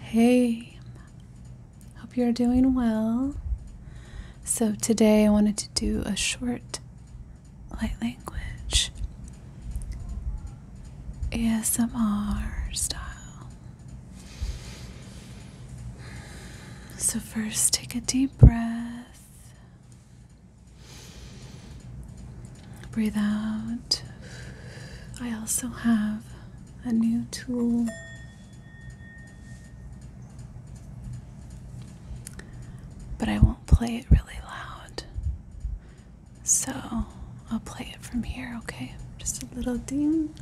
Hey, hope you're doing well. So, today I wanted to do a short light language ASMR style. So, first take a deep breath Breathe out. I also have a new tool. But I won't play it really loud. So I'll play it from here, okay? Just a little ding.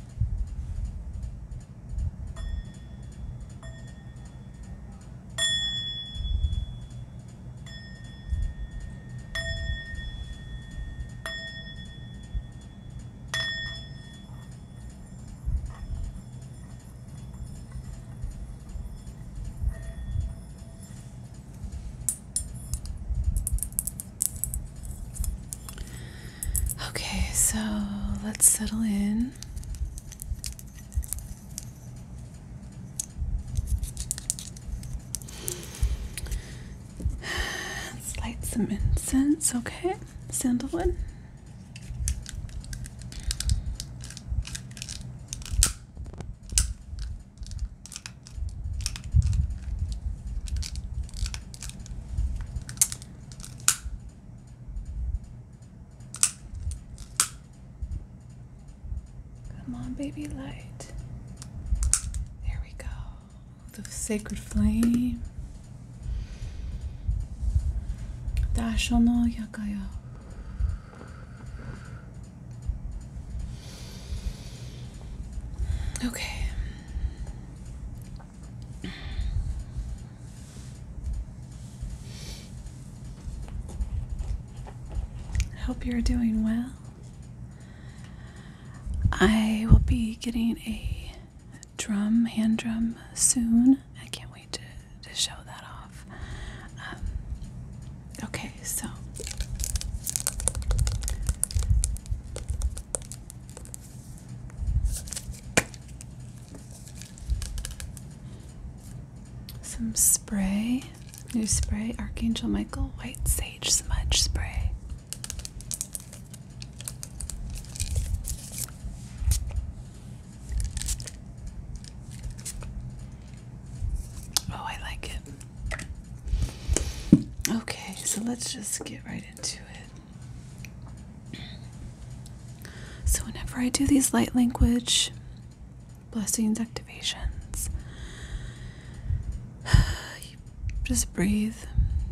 Okay, so let's settle in light some incense, okay? Sandalwood. Come on, baby light. There we go. The sacred flame. Dasho no Okay. I hope you're doing well. I will be getting a drum, hand drum soon. I can't wait to, to show that off. Um, okay, so. Some spray, new spray, Archangel Michael White Sage Smudge Spray. Oh, I like it. Okay, so let's just get right into it. So, whenever I do these light language blessings activations, just breathe.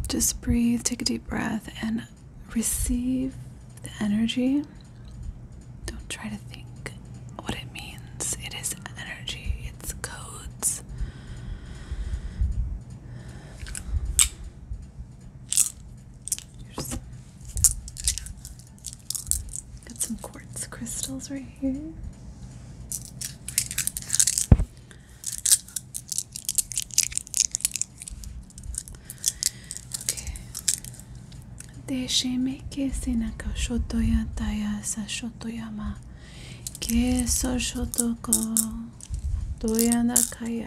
Just breathe, take a deep breath, and receive the energy. Don't try to think what it means. It is energy, it's codes got some quartz crystals right here. Okay. Déjeme que sinaka shotoya taya sa shotoyama. Que so shotoko doya nakaya.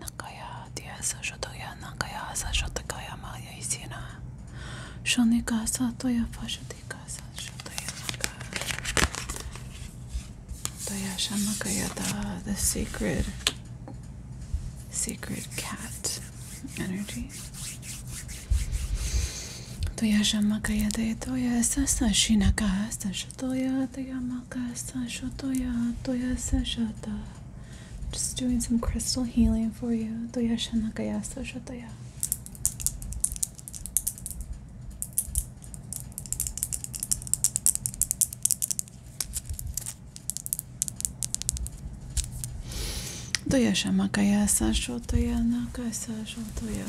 nakaya dia sa shotoya nakaya sa shotokaya maya isina. Shonika sa toya fashotika sa shotoya nakaya. Toya shamakaya the sacred, sacred cat energy. Toya shamakaya de toya sa sa shina sa Shatoya Tayamakasa Shatoya Toya Sashata. Just doing some crystal healing for you. Toya Shanakayasa Shatoya. Toya Shamakayasa Shatoya Nakasa Shatoya.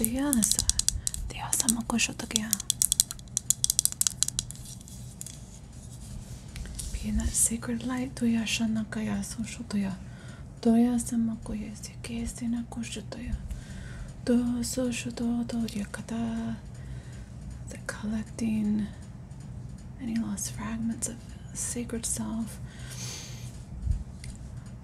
Beyaz Beyaz sama koşuyorduk ya Pina secret light duya şana kaya soşu duya Doya sama koya sike sena koşu duya Do soşu do doya kada The collecting any lost fragments of sacred self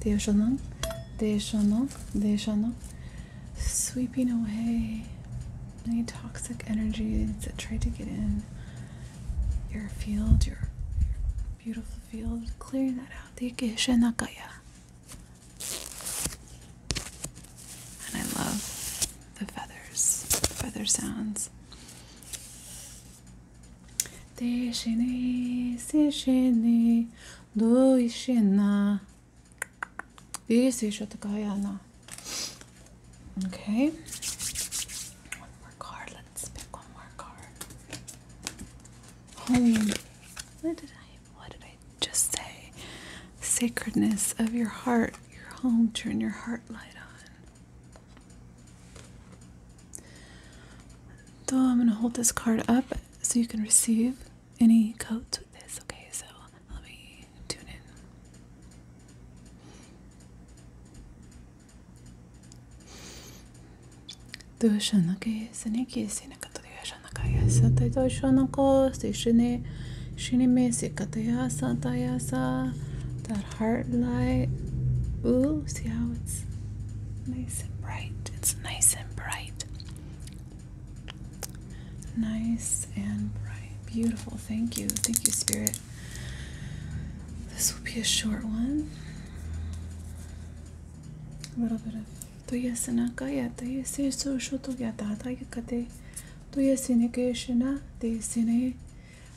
Deshanong, Deshanong, Deshanong. Sweeping away any toxic energies that tried to get in your field, your, beautiful field, clearing that out. Deshanakaya. And I love the feathers, feather sounds. Do Déchaîné, séchaîné, doishina. Okay. One more card. Let's pick one more card. Home. What did I what did I just say? Sacredness of your heart, your home, turn your heart light on. So I'm going to hold this card up so you can receive any codes with this. Okay, so let me tune in. どうしようなけやすねきやすなかとどうしようなかやさたどうしようなこしてしねしねめせかたやさたやさた heart light. Ooh, see how it's nice and bright. It's nice and bright. Nice and bright. Beautiful. Thank you. Thank you, Spirit. This will be a short one. A little bit of. तो ये सनाका या तो ये से socio तो या दादा ये कते तो ये सिने के शना ते सिने